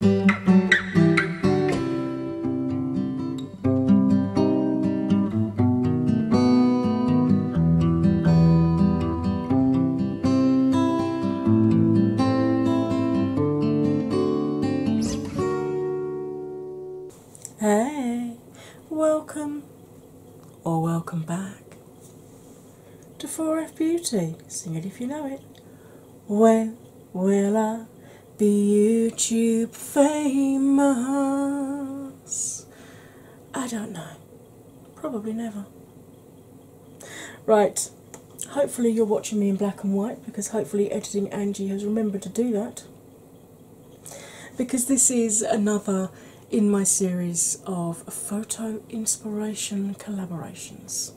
Hey, welcome or welcome back to 4F Beauty. Sing it if you know it. When will I be YouTube famous? I don't know. Probably never. Right, hopefully, you're watching me in black and white because hopefully, editing Angie has remembered to do that. Because this is another in my series of photo inspiration collaborations.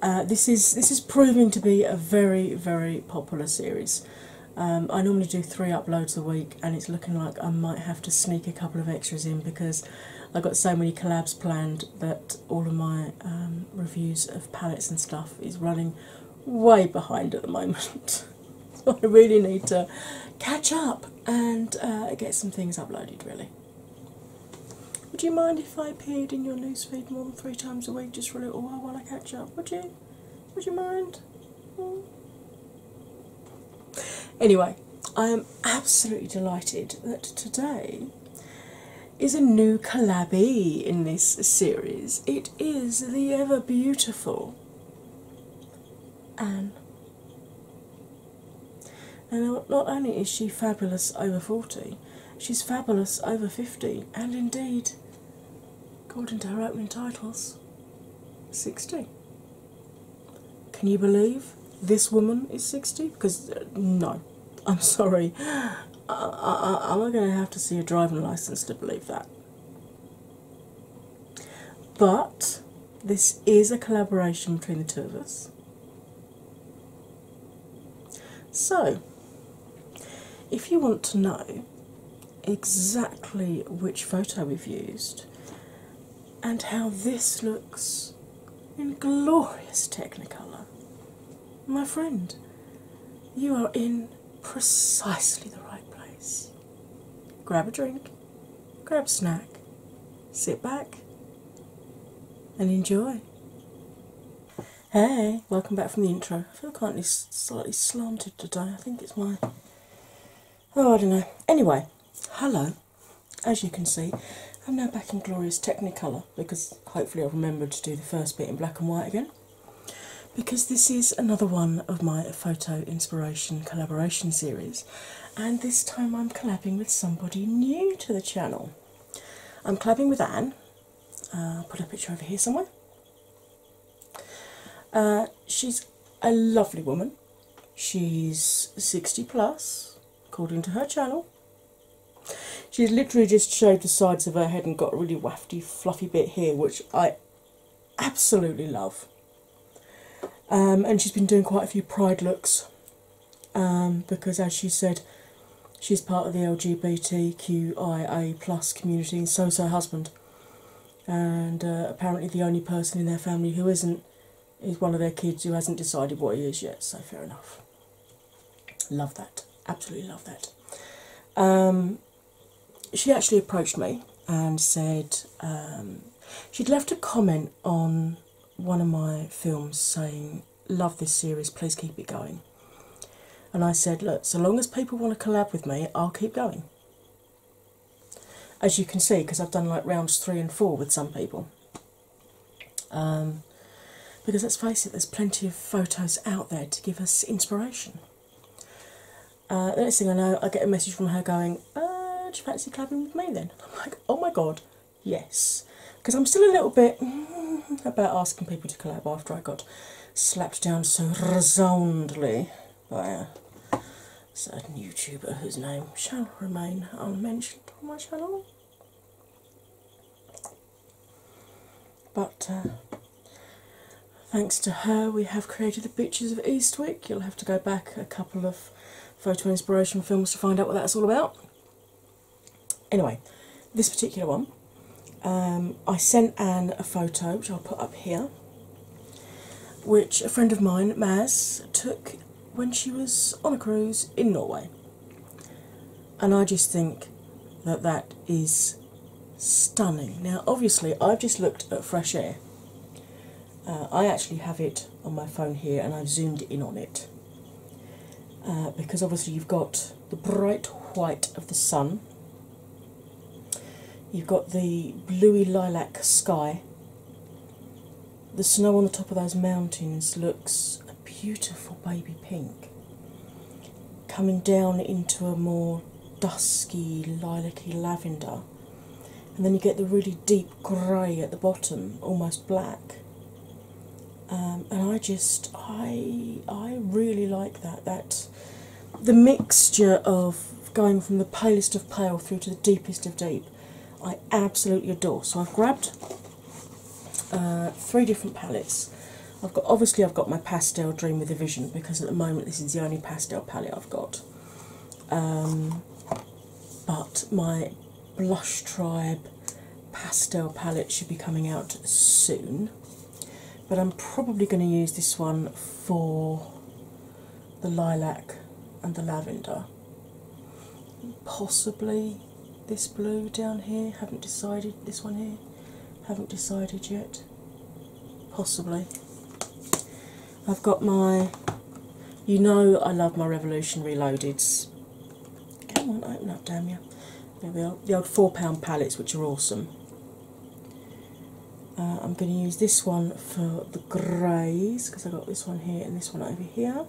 Uh, this is this is proving to be a very very popular series. Um, I normally do three uploads a week, and it's looking like I might have to sneak a couple of extras in because I've got so many collabs planned that all of my um, reviews of palettes and stuff is running way behind at the moment. I really need to catch up and uh, get some things uploaded, really. Would you mind if I appeared in your feed more than three times a week just for a little while while I catch up? Would you? Would you mind? Hmm? Anyway, I am absolutely delighted that today is a new collabie in this series. It is the ever beautiful Anne. And not only is she fabulous over 40, she's fabulous over 50, and indeed, according to her opening titles, 60. Can you believe this woman is 60? Because, uh, no, I'm sorry. I, I, i going to have to see a driving license to believe that. But this is a collaboration between the two of us. So, if you want to know exactly which photo we've used and how this looks in glorious Technicolor, my friend, you are in precisely the right place. Grab a drink, grab a snack, sit back and enjoy. Hey, welcome back from the intro. I feel kind of slightly slanted today. I think it's my. Oh, I don't know. Anyway, hello. As you can see, I'm now back in glorious Technicolor because hopefully i have remembered to do the first bit in black and white again. Because this is another one of my photo inspiration collaboration series, and this time I'm collabing with somebody new to the channel. I'm collabing with Anne. I'll uh, put a picture over here somewhere. Uh, she's a lovely woman. She's 60 plus, according to her channel. She's literally just shaved the sides of her head and got a really wafty, fluffy bit here, which I absolutely love. Um, and she's been doing quite a few pride looks um, because, as she said, she's part of the LGBTQIA plus community, and is her husband. And uh, apparently, the only person in their family who isn't is one of their kids who hasn't decided what he is yet. So fair enough. Love that. Absolutely love that. Um, she actually approached me and said um, she'd left a comment on one of my films saying love this series, please keep it going. And I said, Look, so long as people want to collab with me, I'll keep going. As you can see, because I've done like rounds three and four with some people. Um, because let's face it, there's plenty of photos out there to give us inspiration. Uh, the next thing I know, I get a message from her going, uh, Do you fancy collabing with me then? I'm like, Oh my god, yes, because I'm still a little bit mm, about asking people to collab after I got slapped down so resoundly by a certain YouTuber whose name shall remain unmentioned on my channel. But uh, thanks to her, we have created the beaches of Eastwick. You'll have to go back a couple of photo inspiration films to find out what that's all about. Anyway, this particular one, um, I sent Anne a photo, which I'll put up here, which a friend of mine, Maz, took when she was on a cruise in Norway. And I just think that that is stunning. Now, obviously, I've just looked at fresh air. Uh, I actually have it on my phone here and I've zoomed in on it. Uh, because obviously you've got the bright white of the sun, you've got the bluey lilac sky. The snow on the top of those mountains looks a beautiful baby pink, coming down into a more dusky lilac-y lavender. And then you get the really deep grey at the bottom, almost black. Um, and I just I I really like that that the mixture of going from the palest of pale through to the deepest of deep I absolutely adore. So I've grabbed uh, three different palettes. I've got obviously I've got my pastel Dream with a Vision because at the moment this is the only pastel palette I've got. Um, but my Blush Tribe pastel palette should be coming out soon. But I'm probably going to use this one for the lilac and the lavender. Possibly this blue down here, haven't decided, this one here, haven't decided yet. Possibly. I've got my, you know, I love my Revolution Reloadeds. Come on, open up, damn you. There we are. The old £4 palettes, which are awesome. Uh, I'm going to use this one for the greys because i got this one here and this one over here.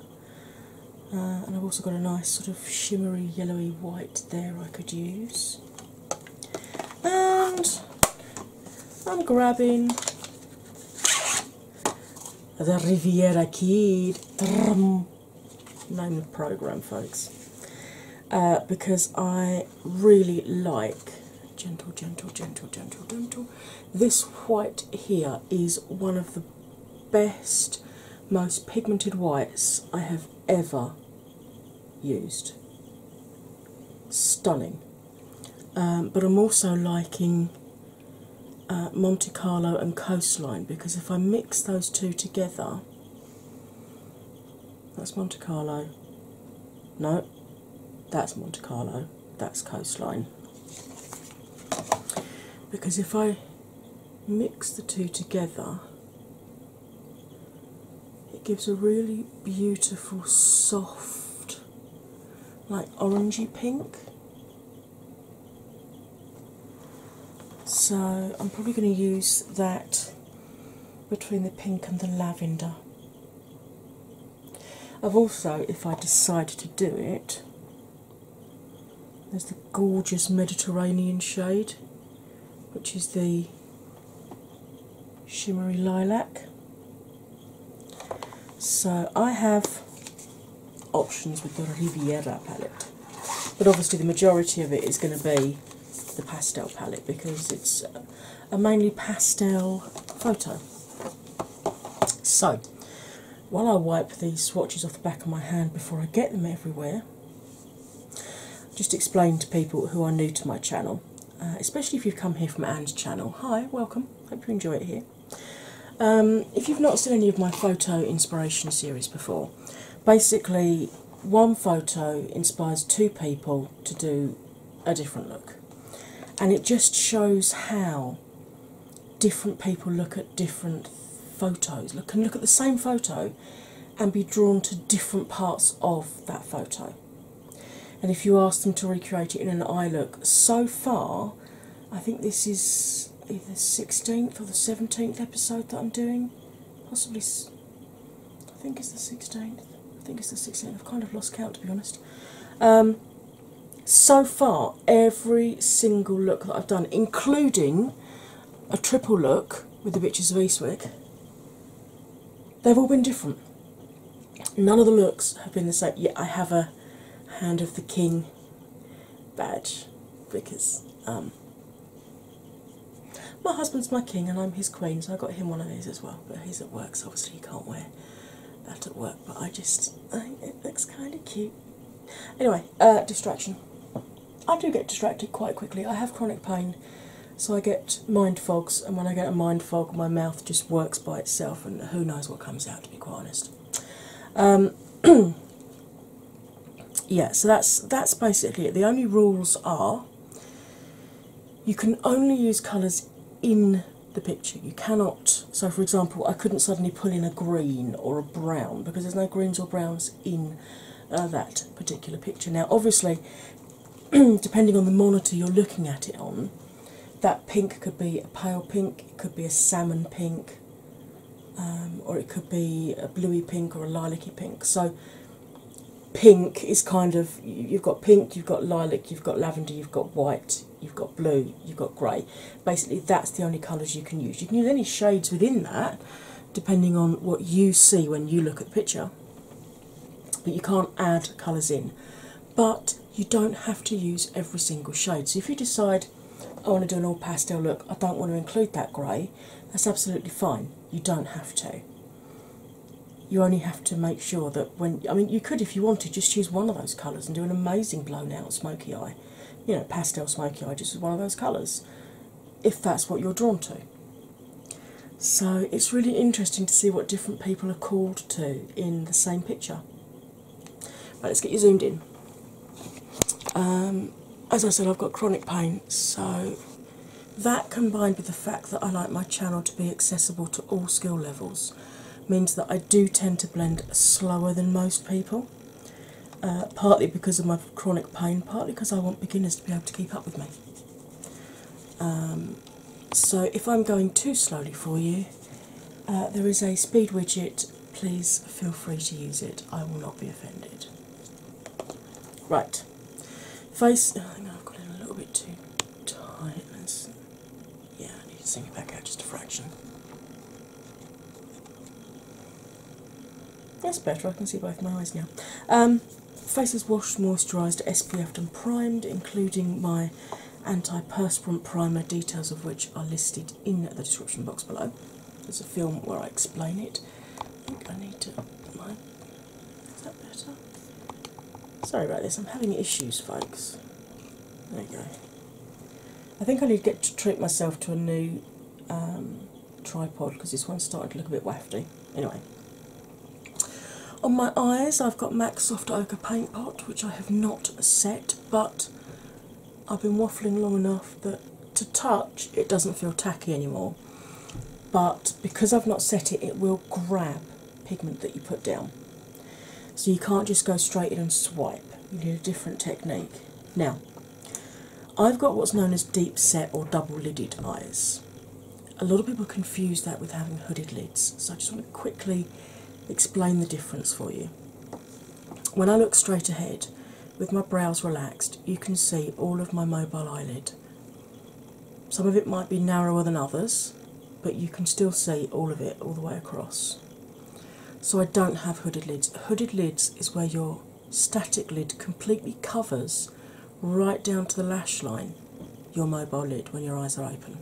Uh, and I've also got a nice sort of shimmery yellowy white there I could use. And I'm grabbing the Riviera Kid. Drum name of the program, folks, uh, because I really like gentle, gentle, gentle, gentle, gentle. This white here is one of the best, most pigmented whites I have ever used. Stunning. Um, but I'm also liking Monte Carlo and Coastline because if I mix those two together, that's Monte Carlo. No, that's Monte Carlo, that's Coastline. Because if I mix the two together, it gives a really beautiful, soft, like orangey pink. So I'm probably going to use that between the pink and the lavender. I've also, if I decide to do it, there's the gorgeous Mediterranean shade, which is the shimmery lilac. So I have options with the Riviera palette. But obviously, the majority of it is going to be the pastel palette because it's a mainly pastel photo. So, while I wipe these swatches off the back of my hand before I get them everywhere, just explain to people who are new to my channel, uh, especially if you've come here from Anne's channel. Hi, welcome, hope you enjoy it here. Um, if you've not seen any of my photo inspiration series before, basically one photo inspires two people to do a different look, and it just shows how different people look at different photos, look, and look at the same photo and be drawn to different parts of that photo. And if you ask them to recreate it in an eye look, so far, I think this is either the 16th or the 17th episode that I'm doing. Possibly, I think it's the 16th. I think it's the 16th. I've kind of lost count to be honest. Um, so far, every single look that I've done, including a triple look with the Bitches of Eastwick, they've all been different. None of the looks have been the same. Yet I have a Hand of the King badge because um, my husband's my king and I'm his queen, so I got him one of these as well. But he's at work, so obviously he can't wear that at work. But I just, it looks kind of cute. Anyway, uh, distraction. I do get distracted quite quickly. I have chronic pain, so I get mind fogs, and when I get a mind fog, my mouth just works by itself, and who knows what comes out, to be quite honest. Um, yeah, so that's that's basically it. The only rules are you can only use colours in the picture. You cannot so for example I couldn't suddenly pull in a green or a brown because there's no greens or browns in uh, that particular picture. Now obviously depending on the monitor you're looking at it on, that pink could be a pale pink, it could be a salmon pink, um, or it could be a bluey pink or a lilac y pink. So, pink is kind of you've got pink, you've got lilac, you've got lavender, you've got white, you've got blue, you've got grey. Basically, that's the only colours you can use. You can use any shades within that depending on what you see when you look at the picture, but you can't add colours in. But you don't have to use every single shade. So, if you decide Oh, I want to do an all pastel look, I don't want to include that grey, that's absolutely fine. You don't have to. You only have to make sure that when, I mean, you could, if you wanted, just choose one of those colours and do an amazing blown out smoky eye. You know, pastel smoky eye, just with one of those colours, if that's what you're drawn to. So it's really interesting to see what different people are called to in the same picture let's get you zoomed in. Um, as I said, I've got chronic pain, so that combined with the fact that I like my channel to be accessible to all skill levels means that I do tend to blend slower than most people, uh, partly because of my chronic pain, partly because I want beginners to be able to keep up with me. Um, so if I'm going too slowly for you, uh, there is a speed widget please feel free to use it. I will not be offended. Right, face. I think oh, I've got it a little bit too tight. Let's, yeah, I need to sing it back out just a fraction. That's better. I can see both my eyes now. Um, face is washed, moisturised, SPF'd, and primed, including my anti-perspirant primer, details of which are listed in the description box below. There's a film where I explain it. I think I need to Is that better? Sorry about this, I'm having issues, folks. There you go. I think I need to get to treat myself to a new um, tripod because this one started to look a bit wafty. Anyway, on my eyes, I've got MAC Soft Ochre Paint Pot, which I have not set, but I've been waffling long enough that to touch it doesn't feel tacky anymore, but because I've not set it, it will grab pigment that you put down. So you can't just go straight in and swipe, you need a different technique. Now, I've got what's known as deep set or double lidded eyes. A lot of people confuse that with having hooded lids, so I just want to quickly explain the difference for you. When I look straight ahead, with my brows relaxed, you can see all of my mobile eyelid. Some of it might be narrower than others, but you can still see all of it all the way across. So I don't have hooded lids. Hooded lids is where your static lid completely covers right down to the lash line your mobile lid when your eyes are open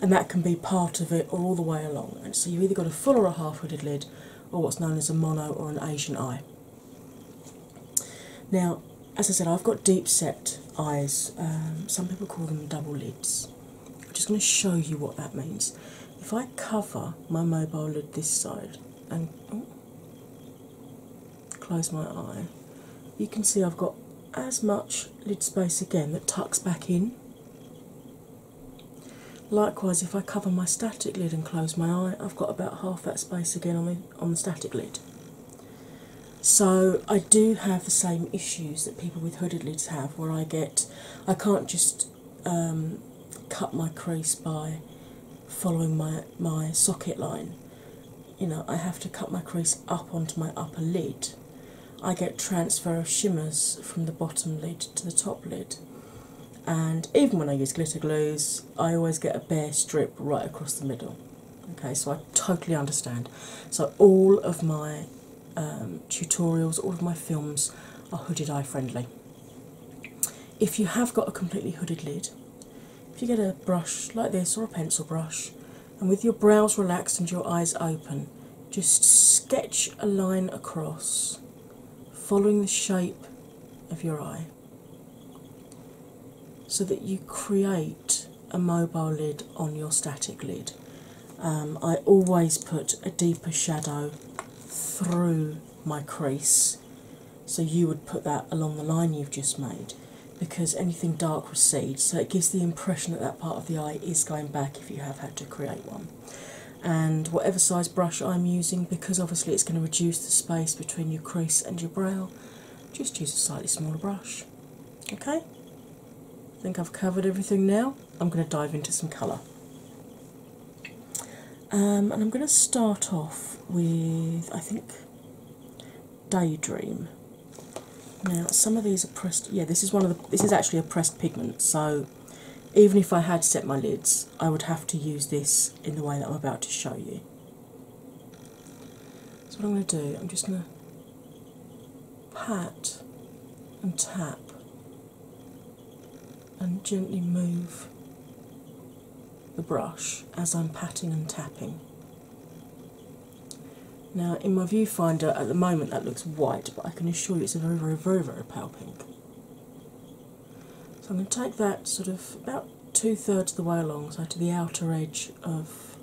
and that can be part of it all the way along. so you've either got a full or a half-hooded lid, or what's known as a mono or an Asian eye. Now, as I said, I've got deep-set eyes. Um, some people call them double lids. I'm just going to show you what that means. If I cover my mobile lid this side and oh, close my eye, you can see I've got as much lid space again that tucks back in. Likewise, if I cover my static lid and close my eye, I've got about half that space again on the, on the static lid. So I do have the same issues that people with hooded lids have, where I get I can't just um, cut my crease by following my my socket line. You know, I have to cut my crease up onto my upper lid I get transfer of shimmers from the bottom lid to the top lid. And even when I use glitter glues, I always get a bare strip right across the middle. Okay, so I totally understand. So, all of my um, tutorials, all of my films are hooded eye friendly. If you have got a completely hooded lid, if you get a brush like this or a pencil brush, and with your brows relaxed and your eyes open, just sketch a line across following the shape of your eye so that you create a mobile lid on your static lid. Um, I always put a deeper shadow through my crease, so you would put that along the line you've just made because anything dark recedes, so it gives the impression that that part of the eye is going back if you have had to create one and whatever size brush I'm using, because obviously it's going to reduce the space between your crease and your brow, just use a slightly smaller brush. Okay? I think I've covered everything now. I'm going to dive into some colour. Um, and I'm going to start off with, I think, Daydream. Now, some of these are pressed. Yeah, this is one of the. This is actually a pressed pigment, so even if I had set my lids, I would have to use this in the way that I'm about to show you. So, what I'm going to do, I'm just going to pat and tap and gently move the brush as I'm patting and tapping. Now, in my viewfinder at the moment that looks white, but I can assure you it's a very, very, very, very pale pink. So I'm going to take that sort of about two thirds of the way along, so to the outer edge of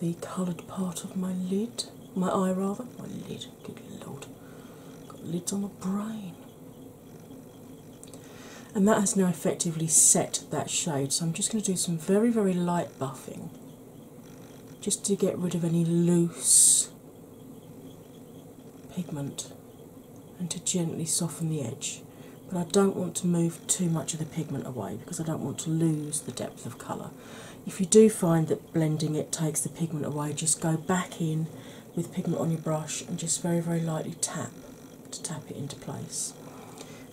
the coloured part of my lid, my eye rather, my lid, good lord, got lids on my brain. And that has now effectively set that shade, so I'm just going to do some very, very light buffing just to get rid of any loose pigment and to gently soften the edge. But I don't want to move too much of the pigment away because I don't want to lose the depth of colour. If you do find that blending it takes the pigment away, just go back in with pigment on your brush and just very, very lightly tap to tap it into place.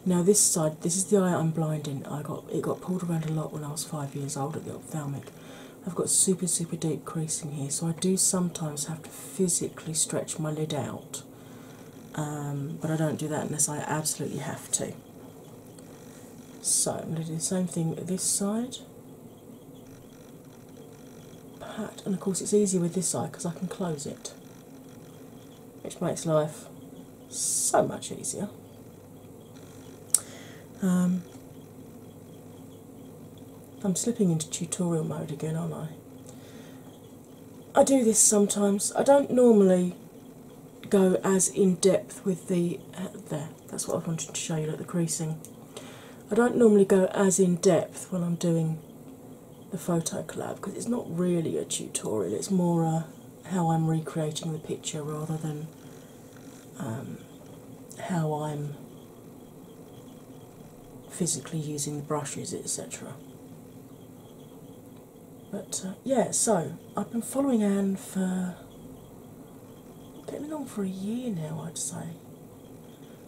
Now this side, this is the eye I'm blind I got it got pulled around a lot when I was five years old bit I've got super, super deep creasing here, so I do sometimes have to physically stretch my lid out, um, but I don't do that unless I absolutely have to. So I'm going to do the same thing this side. Pat, and of course, it's easier with this side because I can close it, which makes life so much easier. Um, I'm slipping into tutorial mode again, aren't I? I do this sometimes. I don't normally go as in depth with the. Uh, there, that's what I wanted to show you, like the creasing. I don't normally go as in depth when I'm doing the photo collab because it's not really a tutorial, it's more uh, how I'm recreating the picture rather than um, how I'm physically using the brushes, etc. But uh, yeah, so I've been following Anne for getting on for a year now, I'd say.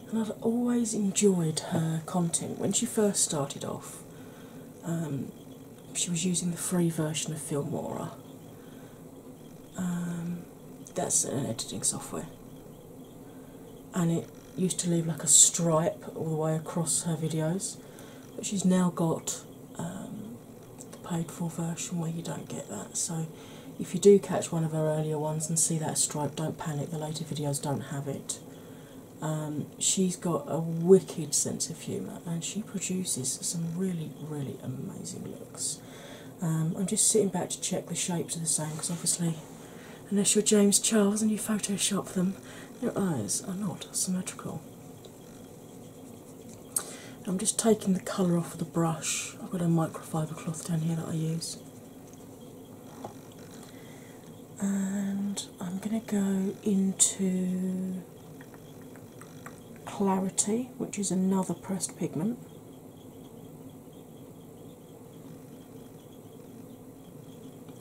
And I've always enjoyed her content. When she first started off, um, she was using the free version of Filmora. Um, that's an editing software, and it used to leave like a stripe all the way across her videos, but she's now got um, the paid for version where you don't get that. So, if you do catch one of her earlier ones and see that stripe, don't panic, the later videos don't have it. Um, she's got a wicked sense of humour, and she produces some really, really amazing looks. Um, I'm just sitting back to check the shapes are the same because obviously, unless you're James Charles and you Photoshop them, your eyes are not symmetrical. I'm just taking the colour off of the brush. I've got a microfibre cloth down here that I use. And I'm going to go into Clarity, which is another pressed pigment.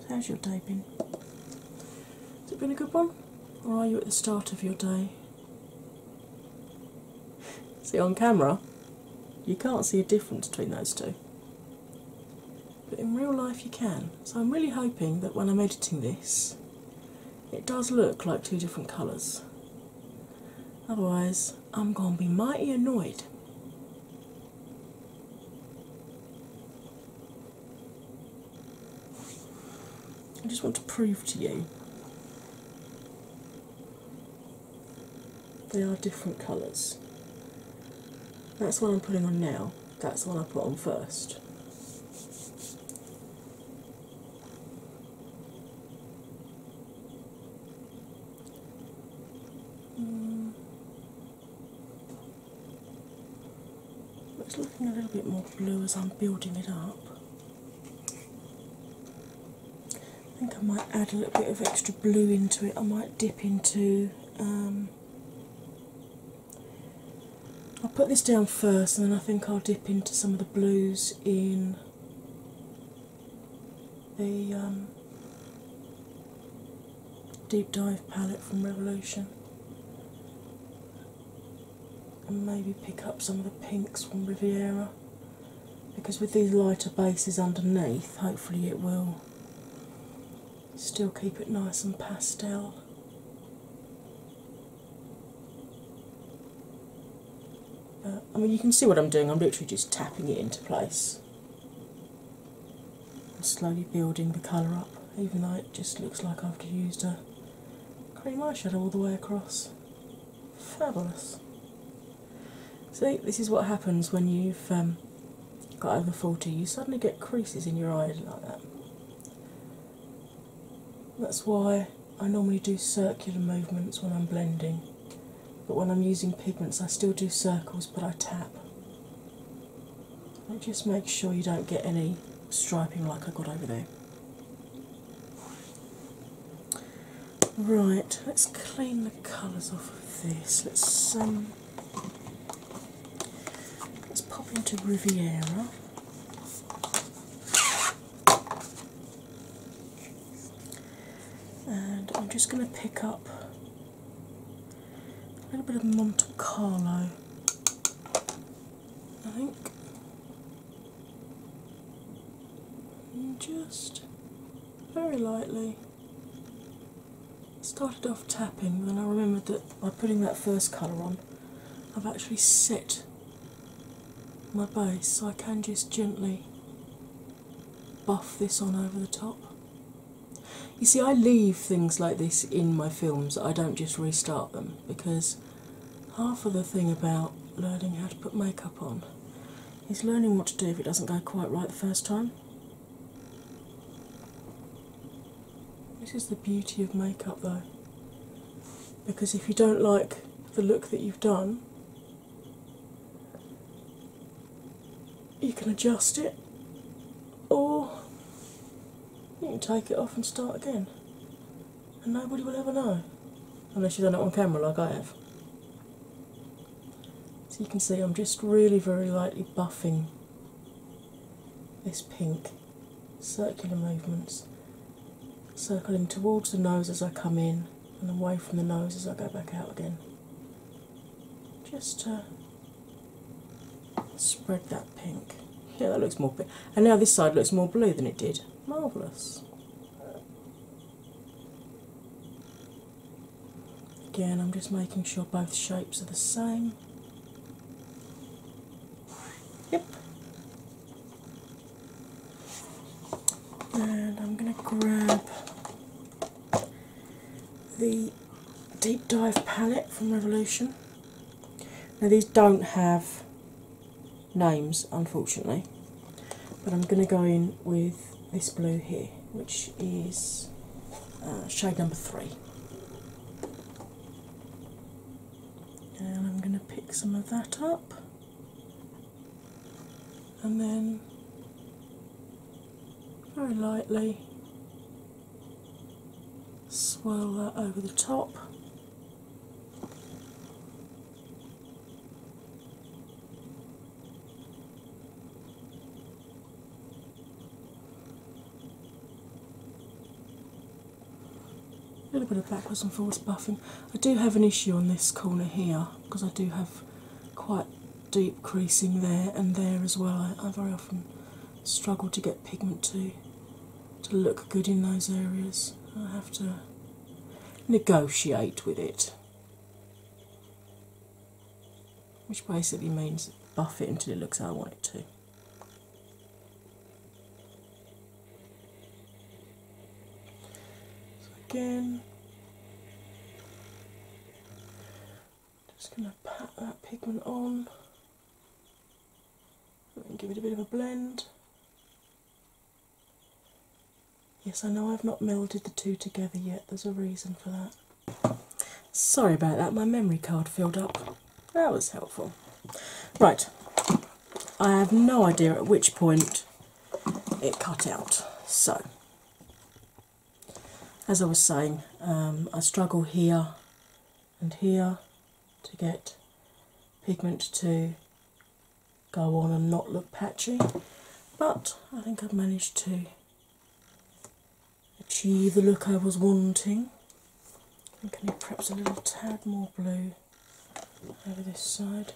how's your day been? Has it been a good one? Or are you at the start of your day? See, on camera, you can't see a difference between those two. But in real life, you can. So I'm really hoping that when I'm editing this, it does look like two different colours. Otherwise, I'm going to be mighty annoyed. I just want to prove to you they are different colours. That's what I'm putting on now, that's what I put on first. It's mm. looking a little bit more blue as I'm building it up. I think I might add a little bit of extra blue into it. I might dip into um, I'll put this down first and then I think I'll dip into some of the blues in the um, Deep Dive palette from Revolution and maybe pick up some of the pinks from Riviera because with these lighter bases underneath, hopefully it will still keep it nice and pastel. Uh, I mean, you can see what I'm doing, I'm literally just tapping it into place and slowly building the colour up, even though it just looks like I've used a cream eyeshadow all the way across. Fabulous. See, this is what happens when you've um, got over 40, you suddenly get creases in your eyes like that. That's why I normally do circular movements when I'm blending, but when I'm using pigments, I still do circles but I tap. And just make sure you don't get any striping like I got over there. Right, let's clean the colours off of this. Let's um, let's pop into Riviera. And I'm just going to pick up a little bit of Monte Carlo, I think. just very lightly. Started off tapping, then I remembered that by putting that first colour on, I've actually set my base, so I can just gently buff this on over the top. You see, I leave things like this in my films, I don't just restart them because half of the thing about learning how to put makeup on is learning what to do if it doesn't go quite right the first time. This is the beauty of makeup, though because if you don't like the look that you've done, you can adjust it or you can take it off and start again. And nobody will ever know unless you've done it on camera like I have. So you can see I'm just really very lightly buffing this pink circular movements, circling towards the nose as I come in and away from the nose as I go back out again. Just to spread that pink. Yeah, that looks more pink. And now this side looks more blue than it did. Marvellous. Again, I'm just making sure both shapes are the same. Yep and I'm going to grab the Deep Dive palette from Revolution. Now, these don't have names, unfortunately, but I'm going to go in with this blue here, which is uh, shade number three and I'm going to pick some of that up and then very lightly swirl that over the top. A little bit of backwards and forwards buffing. I do have an issue on this corner here because I do have quite deep creasing there and there as well. I, very often struggle to get pigment to to look good in those areas. I have to negotiate with it. Which basically means buff it until it looks how I want it to. So again, just going to pat that pigment on and give it a bit of a blend. Yes, I know I've not melded the two together yet, there's a reason for that. Sorry about that, my memory card filled up. That was helpful. Right, I have no idea at which point it cut out. So, as I was saying, um, I struggle here and here to get pigment to go on and not look patchy, but I think I've managed to achieve the look I was wanting. I'm going to perhaps a little tad more blue over this side.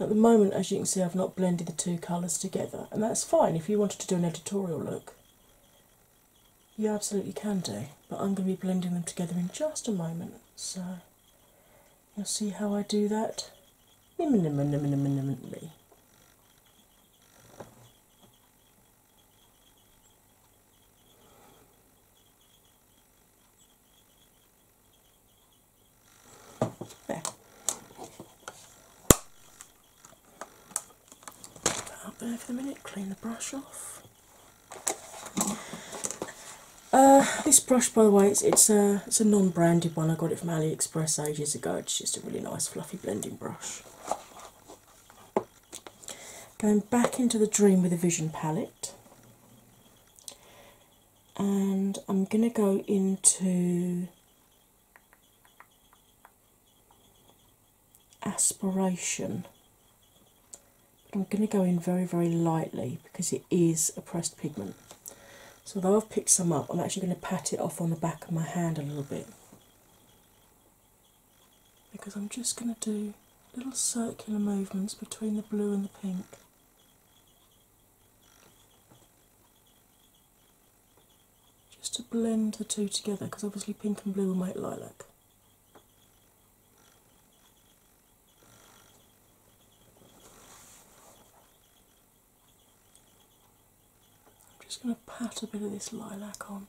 At the moment, as you can see, I've not blended the two colours together, and that's fine if you wanted to do an editorial look. You absolutely can do, but I'm going to be blending them together in just a moment, so you'll see how I do that. Imminently up there for a minute, clean the brush off. Uh, this brush, by the way, it's a it's a non-branded one. I got it from AliExpress ages ago. It's just a really nice fluffy blending brush. Going back into the dream with a vision palette, and I'm going to go into aspiration. I'm going to go in very, very lightly because it is a pressed pigment. So, although I've picked some up, I'm actually going to pat it off on the back of my hand a little bit because I'm just going to do little circular movements between the blue and the pink. Just to blend the two together because obviously pink and blue will make lilac. I'm just going to pat a bit of this lilac on.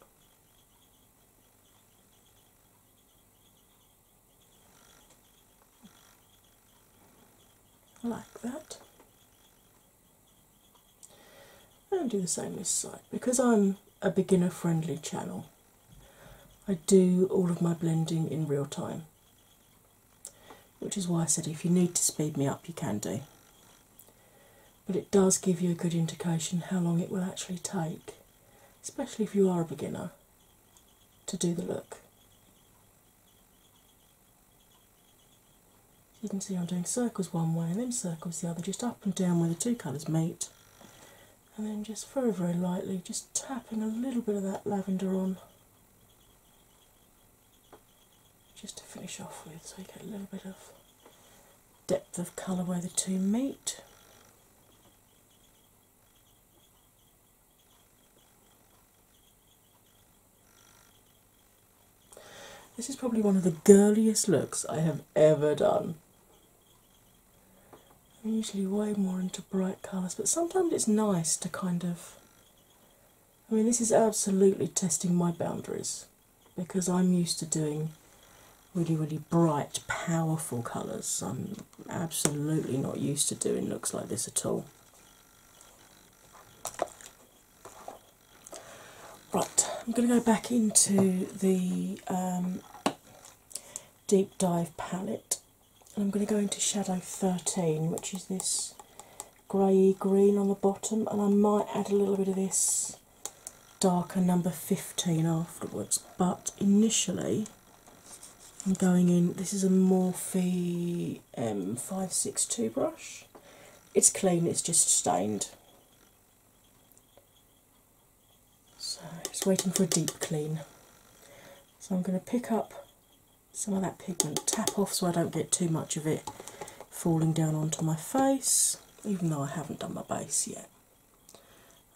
Like that. And do the same this side. Because I'm a beginner friendly channel, I do all of my blending in real time, which is why I said if you need to speed me up, you can do but it does give you a good indication how long it will actually take, especially if you are a beginner, to do the look. You can see I'm doing circles one way and then circles the other, just up and down where the two colours meet, and then just very, very lightly, just tapping a little bit of that lavender on just to finish off with, so you get a little bit of depth of colour where the two meet. This is probably one of the girliest looks I have ever done. I'm usually way more into bright colours, but sometimes it's nice to kind of. I mean, this is absolutely testing my boundaries because I'm used to doing really, really bright, powerful colours. I'm absolutely not used to doing looks like this at all. Right, I'm going to go back into the um, Deep Dive palette and I'm going to go into shadow 13, which is this grey green on the bottom, and I might add a little bit of this darker number 15 afterwards, but initially I'm going in. This is a Morphe M562 um, brush, it's clean, it's just stained. So it's waiting for a deep clean. So I'm going to pick up some of that pigment, tap off so I don't get too much of it falling down onto my face even though I haven't done my base yet.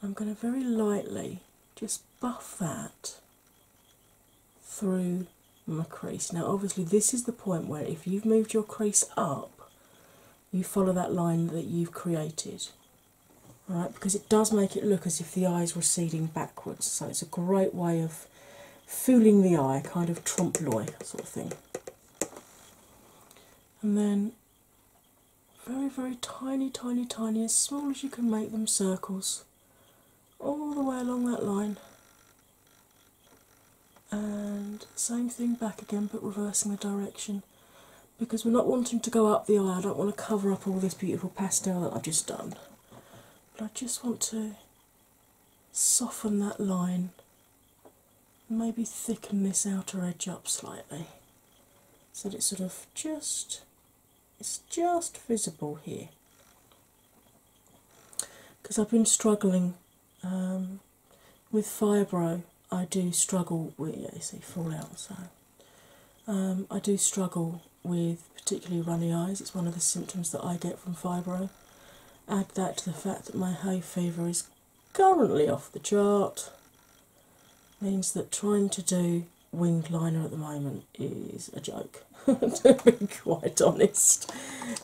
I'm going to very lightly just buff that through my crease. Now, obviously, this is the point where if you've moved your crease up, you follow that line that you've created. Right, because it does make it look as if the eye is receding backwards, so it's a great way of fooling the eye, kind of trompe l'oeil sort of thing and then very, very tiny, tiny, tiny, as small as you can make them circles all the way along that line. And same thing back again, but reversing the direction because we're not wanting to go up the eye. I don't want to cover up all this beautiful pastel that I've just done, but I just want to soften that line maybe thicken this outer edge up slightly so that it's sort of just it's just visible here because I've been struggling um, with fibro I do struggle with yeah, you see fall so um, I do struggle with particularly runny eyes it's one of the symptoms that I get from fibro add that to the fact that my high fever is currently off the chart means that trying to do winged liner at the moment is a joke, to be quite honest.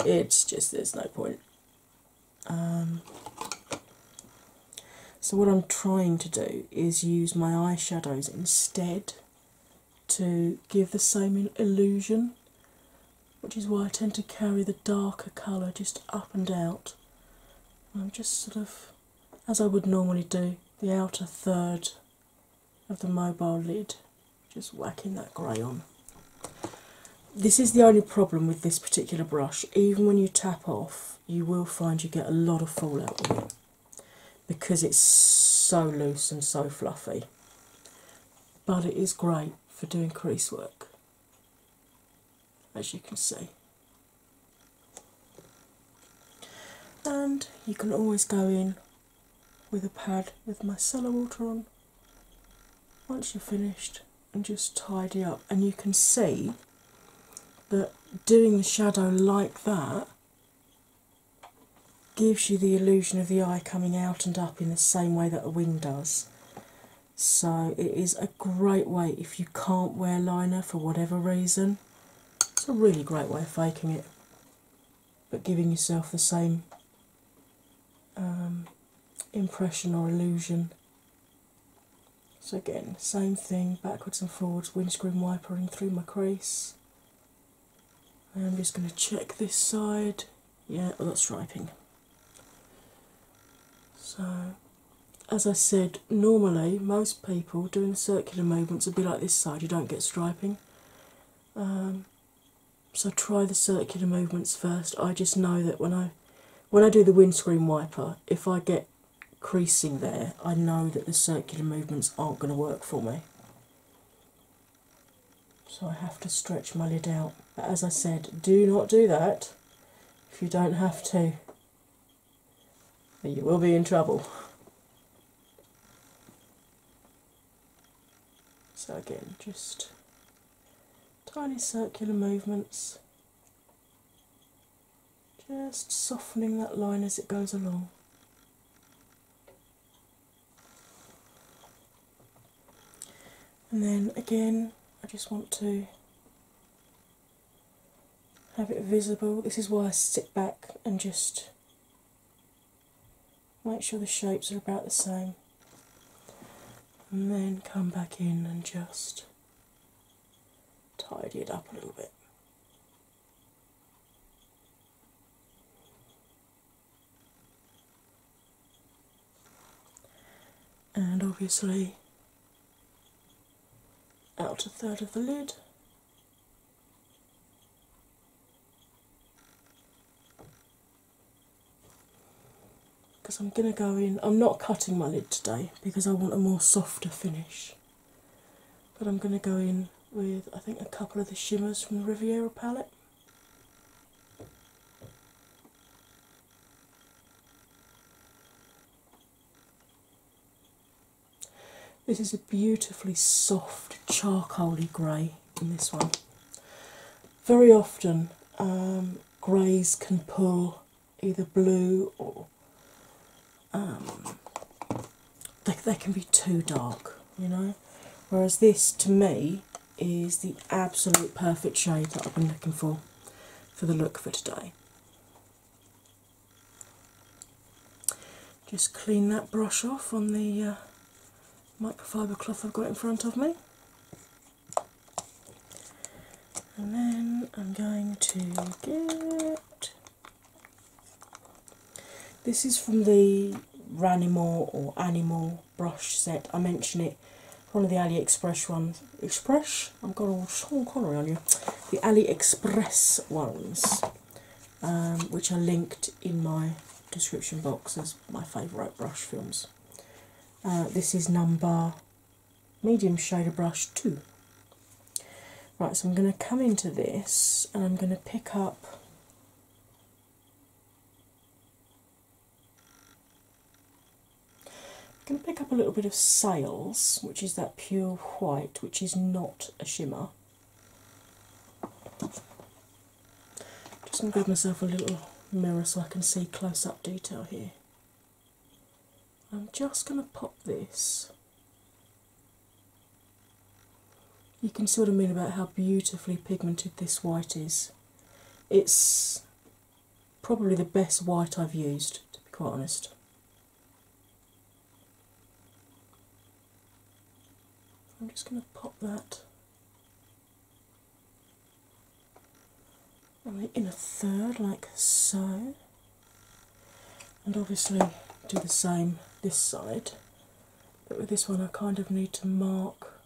It's just there's no point. Um, so, what I'm trying to do is use my eyeshadows instead to give the same illusion which is why I tend to carry the darker colour just up and out. I'm just sort of, as I would normally do, the outer third of the mobile lid, just whacking that grey on. This is the only problem with this particular brush, even when you tap off, you will find you get a lot of fallout because it's so loose and so fluffy. But it is great for doing crease work as you can see. And you can always go in with a pad with micellar water on once you're finished and just tidy up. And you can see that doing the shadow like that gives you the illusion of the eye coming out and up in the same way that a wing does. So, it is a great way if you can't wear liner for whatever reason. It's a really great way of faking it, but giving yourself the same um, impression or illusion. So, again, same thing backwards and forwards, windscreen wipering through my crease. I'm just going to check this side yeah, well that's striping. So, as I said, normally most people doing circular movements would be like this side, you don't get striping. Um, so try the circular movements first. I just know that when I when I do the windscreen wiper, if I get creasing there, I know that the circular movements aren't going to work for me so I have to stretch my lid out. as I said, do not do that if you don't have to, you will be in trouble. So, again, just tiny circular movements, just softening that line as it goes along. And then again, I just want to have it visible. This is why I sit back and just make sure the shapes are about the same. And then come back in and just tidy it up a little bit and obviously out a third of the lid. Because I'm going to go in, I'm not cutting my lid today because I want a more softer finish. But I'm going to go in with, I think, a couple of the shimmers from the Riviera palette. This is a beautifully soft charcoaly grey in this one. Very often, um, greys can pull either blue or um, they, they can be too dark, you know. Whereas this, to me, is the absolute perfect shade that I've been looking for for the look for today. Just clean that brush off on the uh, microfiber cloth I've got in front of me, and then I'm going to get this is from the Ranimore or Animal brush set. I mention it, one of the AliExpress ones. Express? I've got all Sean Connery on you. The AliExpress ones, um, which are linked in my description box as my favourite brush films. Uh, this is number medium shader brush 2. Right, so I'm going to come into this and I'm going to pick up I'm going to pick up a little bit of sales, which is that pure white, which is not a shimmer. Just going to grab myself a little mirror so I can see close up detail here. I'm just going to pop this. You can sort of mean about how beautifully pigmented this white is. It's probably the best white I've used, to be quite honest. I'm just going to pop that in a third, like so, and obviously do the same this side, but with this one, I kind of need to mark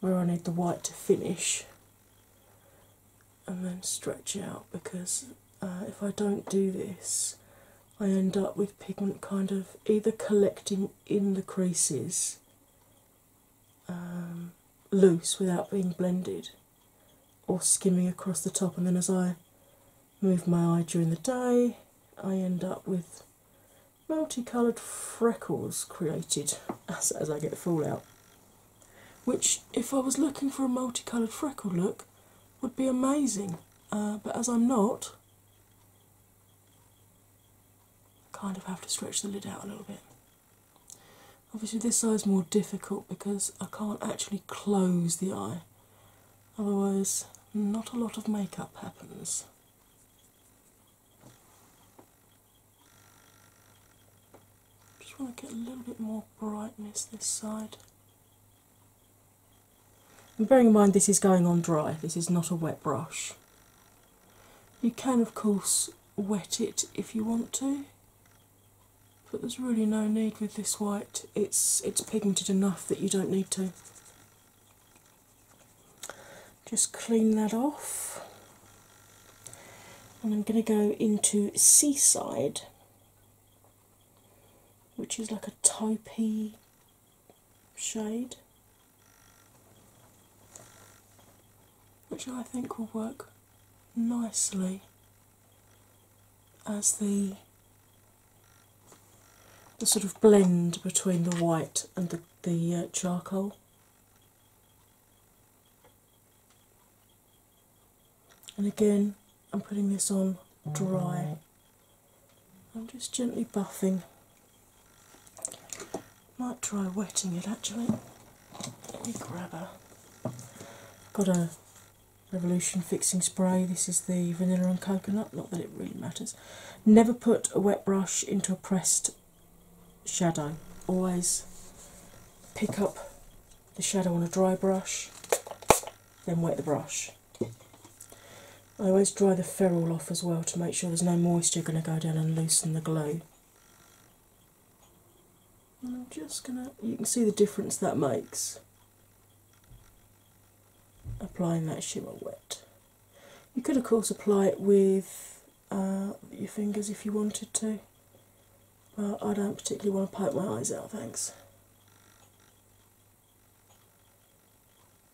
where I need the white to finish and then stretch it out because uh, if I don't do this, I end up with pigment kind of either collecting in the creases um, loose without being blended or skimming across the top, and then as I move my eye during the day, I end up with multicoloured freckles created as, I get fallout. Which, if I was looking for a multicoloured freckle look, would be amazing, uh, but as I'm not, I kind of have to stretch the lid out a little bit. Obviously, this side is more difficult because I can't actually close the eye, otherwise, not a lot of makeup happens. Just want to get a little bit more brightness this side. And bearing in mind this is going on dry, this is not a wet brush. You can, of course, wet it if you want to, but there's really no need with this white. It's it's pigmented enough that you don't need to. Just clean that off, and I'm going to go into Seaside, which is like a taupe shade, which I think will work nicely as the the sort of blend between the white and the, the uh, charcoal. And again, I'm putting this on dry. I'm just gently buffing. Might try wetting it actually. Let me grab a. Got a Revolution Fixing Spray. This is the vanilla and coconut. Not that it really matters. Never put a wet brush into a pressed shadow. Always pick up the shadow on a dry brush, then wet the brush. I always dry the ferrule off as well to make sure there's no moisture going to go down and loosen the glue. I'm just going to, you can see the difference that makes applying that shimmer wet. You could, of course, apply it with uh, your fingers if you wanted to, but I don't particularly want to poke my eyes out, thanks.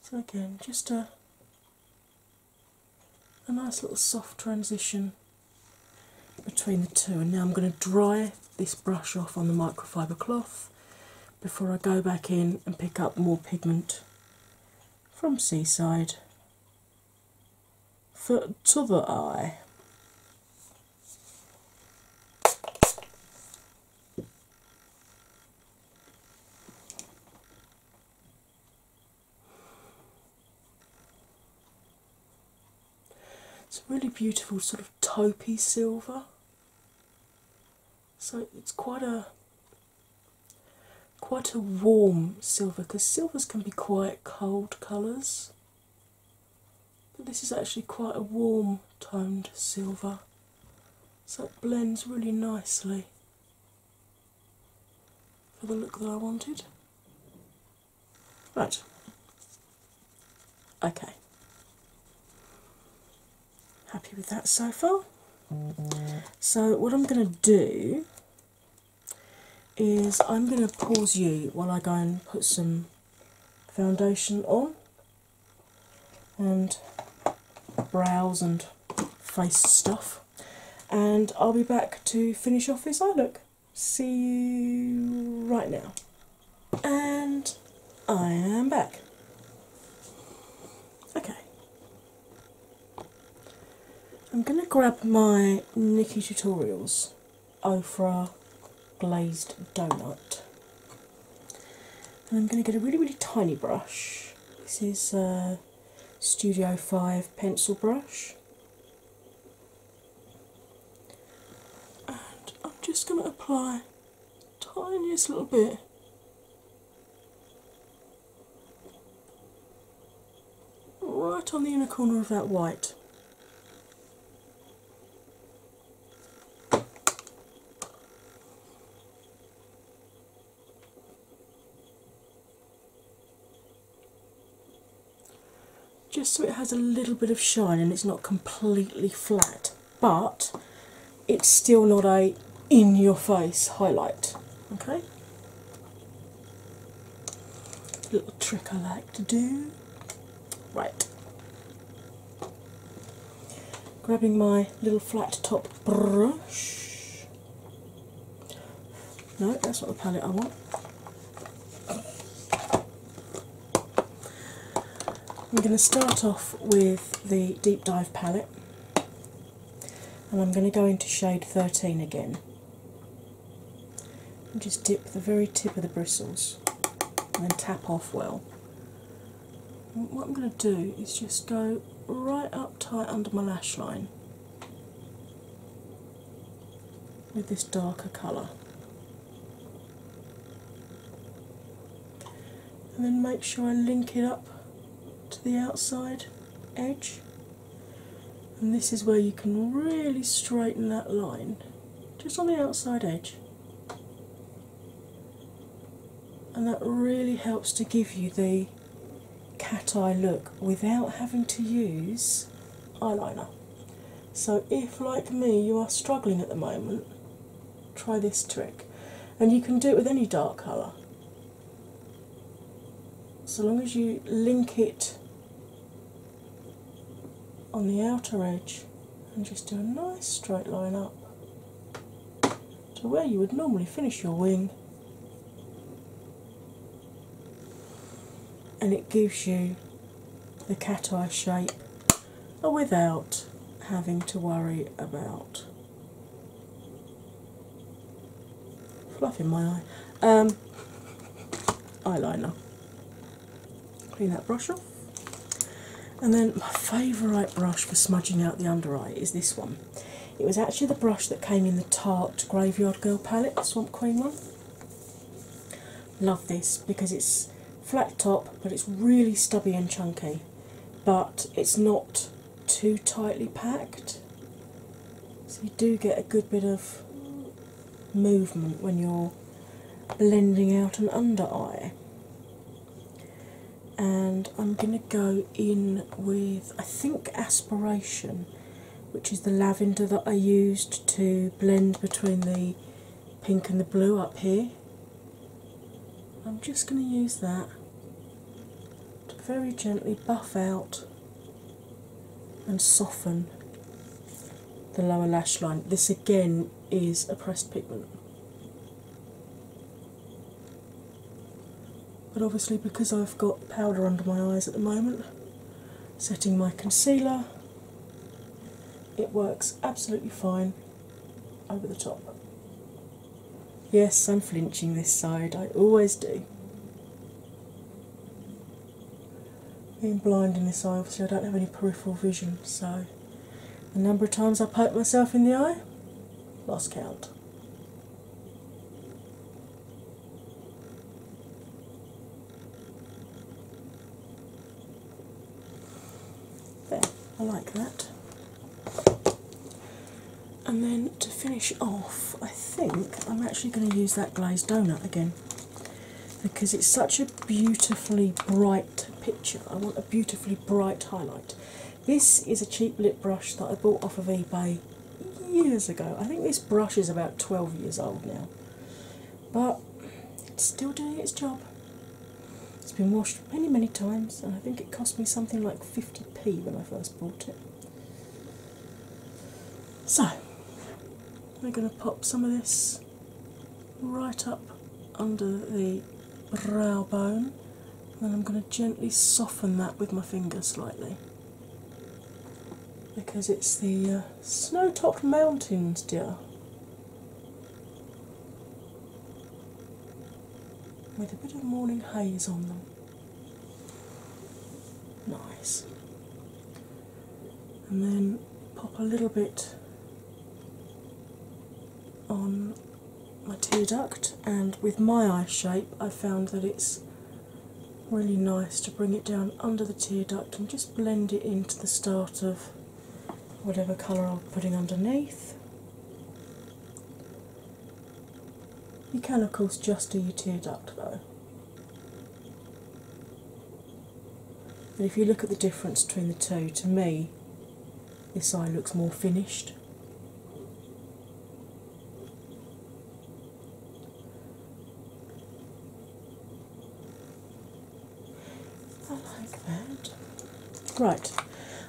So, again, just a, a nice little soft transition between the two, and now I'm going to dry this brush off on the microfiber cloth before I go back in and pick up more pigment from Seaside for t'other eye. It's a really beautiful sort of taupey silver. So it's quite a Quite a warm silver because silvers can be quite cold colours, but this is actually quite a warm toned silver, so it blends really nicely for the look that I wanted. Right, okay, happy with that so far. So, what I'm going to do is I'm going to pause you while I go and put some foundation on and brows and face stuff, and I'll be back to finish off this eye look. See you right now. And I am back. Okay, I'm going to grab my Nikki Tutorials Ofra Glazed Donut and I'm going to get a really, really tiny brush. This is a Studio 5 pencil brush. And I'm just going to apply tiniest little bit right on the inner corner of that white. Just so it has a little bit of shine and it's not completely flat, but it's still not a in your face highlight. Okay? Little trick I like to do. Right. Grabbing my little flat top brush. No, that's not the palette I want. I'm going to start off with the Deep Dive palette and I'm going to go into shade 13 again just dip the very tip of the bristles and tap off well. what I'm going to do is just go right up tight under my lash line with this darker colour. And then make sure I link it up to the outside edge and this is where you can really straighten that line just on the outside edge. And that really helps to give you the cat eye look without having to use eyeliner. So, if like me you are struggling at the moment, try this trick. And you can do it with any dark colour so long as you link it on the outer edge and just do a nice straight line up to where you would normally finish your wing. And it gives you the cat eye shape without having to worry about fluff in my eye. Um, eyeliner. Clean that brush off. And then my favourite brush for smudging out the under eye is this one. It was actually the brush that came in the Tarte Graveyard Girl palette, the Swamp Queen one. Love this because it's flat top but it's really stubby and chunky, but it's not too tightly packed. So you do get a good bit of movement when you're blending out an under eye. And I'm going to go in with, I think, Aspiration, which is the lavender that I used to blend between the pink and the blue up here. I'm just going to use that to very gently buff out and soften the lower lash line. This again is a pressed pigment. But obviously, because I've got powder under my eyes at the moment, setting my concealer, it works absolutely fine over the top. Yes, I'm flinching this side, I always do. Being blind in this eye, obviously, I don't have any peripheral vision, so the number of times I poke myself in the eye, lost count. There, I like that and then to finish off, I think I'm actually going to use that glazed donut again because it's such a beautifully bright picture. I want a beautifully bright highlight. This is a cheap lip brush that I bought off of eBay years ago. I think this brush is about 12 years old now, but it's still doing its job. It's been washed many, many times, and I think it cost me something like 50p when I first bought it. So, I'm going to pop some of this right up under the brow bone, and I'm going to gently soften that with my finger slightly because it's the uh, snow topped mountains, dear. With a bit of morning haze on them. Nice. And then pop a little bit on my tear duct, and with my eye shape, I found that it's really nice to bring it down under the tear duct and just blend it into the start of whatever colour I'm putting underneath. You can, of course, just do your tear duct though. But if you look at the difference between the two, to me, this eye looks more finished. I like that. Right,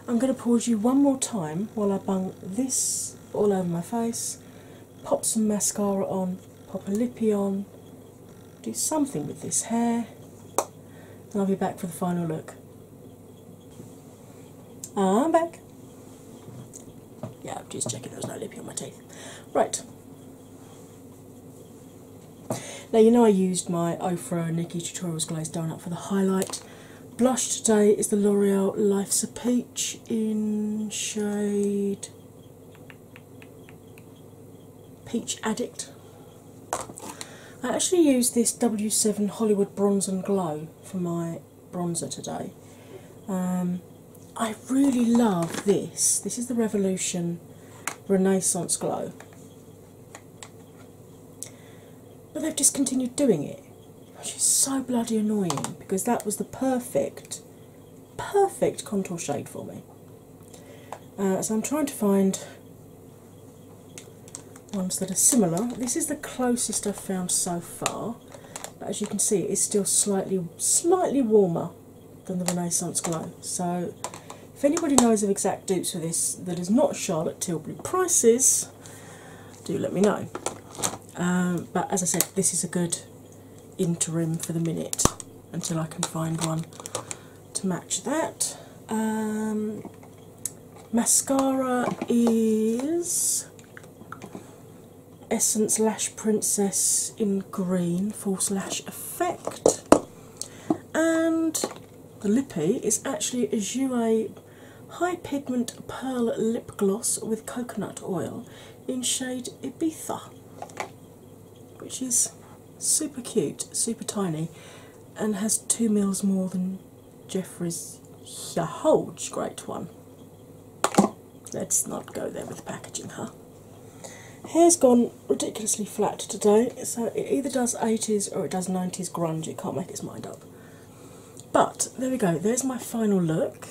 I'm going to pause you one more time while I bung this all over my face, pop some mascara on, pop a lippy on, do something with this hair, and I'll be back for the final look. I'm back. Yeah, I'm just checking there's no lippy on my teeth. Right. Now you know I used my Ofro Nikki Tutorials glaze Donut for the highlight. Blush today is the L'Oreal Life's a Pea in shade Peach Addict. I actually use this W7 Hollywood Bronze and Glow for my bronzer today. Um, I really love this. This is the Revolution Renaissance Glow but they've just continued doing it, which is so bloody annoying because that was the perfect, perfect contour shade for me. Uh, so I'm trying to find ones that are similar. This is the closest I've found so far, but as you can see, it's still slightly, slightly warmer than the Renaissance Glow. So, if anybody knows of exact dupes for this that is not Charlotte Tilbury prices, do let me know. Um, but as I said, this is a good interim for the minute until I can find one to match that. Um, mascara is Essence Lash Princess in green, false lash effect, and the lippy is actually a Jouer High Pigment Pearl Lip Gloss with Coconut Oil in shade Ibiza, which is super cute, super tiny, and has two mils more than Jeffrey's huge great one. Let's not go there with packaging, huh? Hair's gone ridiculously flat today, so it either does 80s or it does 90s grunge, it can't make its mind up. But there we go, there's my final look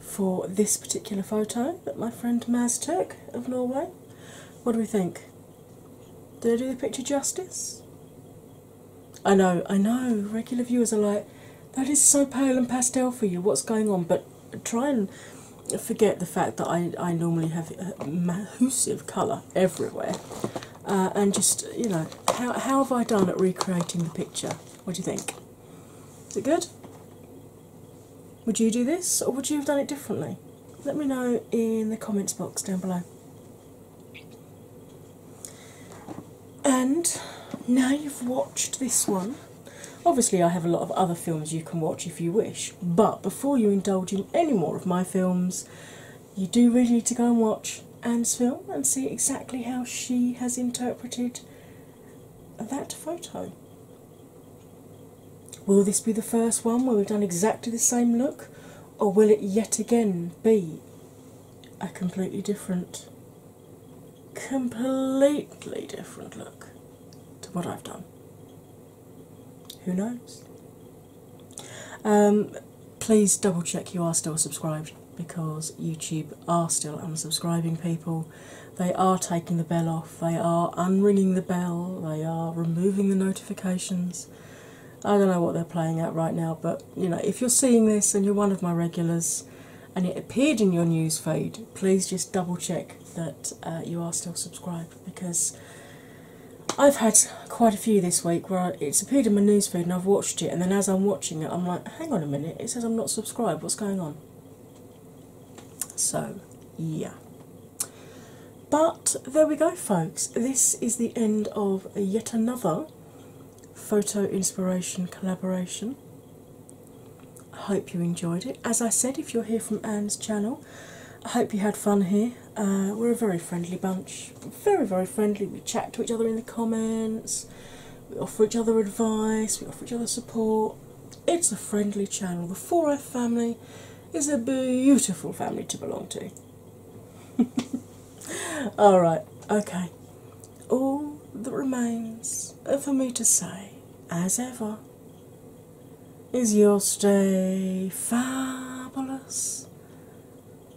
for this particular photo that my friend Maz took of Norway. What do we think? Did I do the picture justice? I know, I know, regular viewers are like, that is so pale and pastel for you, what's going on? But try and forget the fact that I, I normally have a uh, massive colour everywhere uh, and just, you know, how, how have I done at recreating the picture? What do you think? Is it good? Would you do this or would you have done it differently? Let me know in the comments box down below. And now you've watched this one. Obviously, I have a lot of other films you can watch if you wish, but before you indulge in any more of my films, you do really need to go and watch Anne's film and see exactly how she has interpreted that photo. Will this be the first one where we've done exactly the same look, or will it yet again be a completely different, completely different look to what I've done? Who knows? Um, please double check you are still subscribed because YouTube are still unsubscribing people. They are taking the bell off, they are unringing the bell, they are removing the notifications. I don't know what they're playing at right now, but you know, if you're seeing this and you're one of my regulars and it appeared in your news feed, please just double check that uh, you are still subscribed because I've had quite a few this week week it's appeared in my newsfeed and I've watched it, and then as I'm watching it, I'm like, hang on a minute, it says I'm not subscribed, what's going on? So, yeah. But there we go, folks. This is the end of yet another photo inspiration collaboration. I hope you enjoyed it. As I said, if you're here from Anne's channel, I hope you had fun here. Uh, we're a very friendly bunch, very, very friendly. We chat to each other in the comments, we offer each other advice, we offer each other support. It's a friendly channel. The 4F family is a beautiful family to belong to. Alright, okay. All that remains for me to say, as ever, is your stay fabulous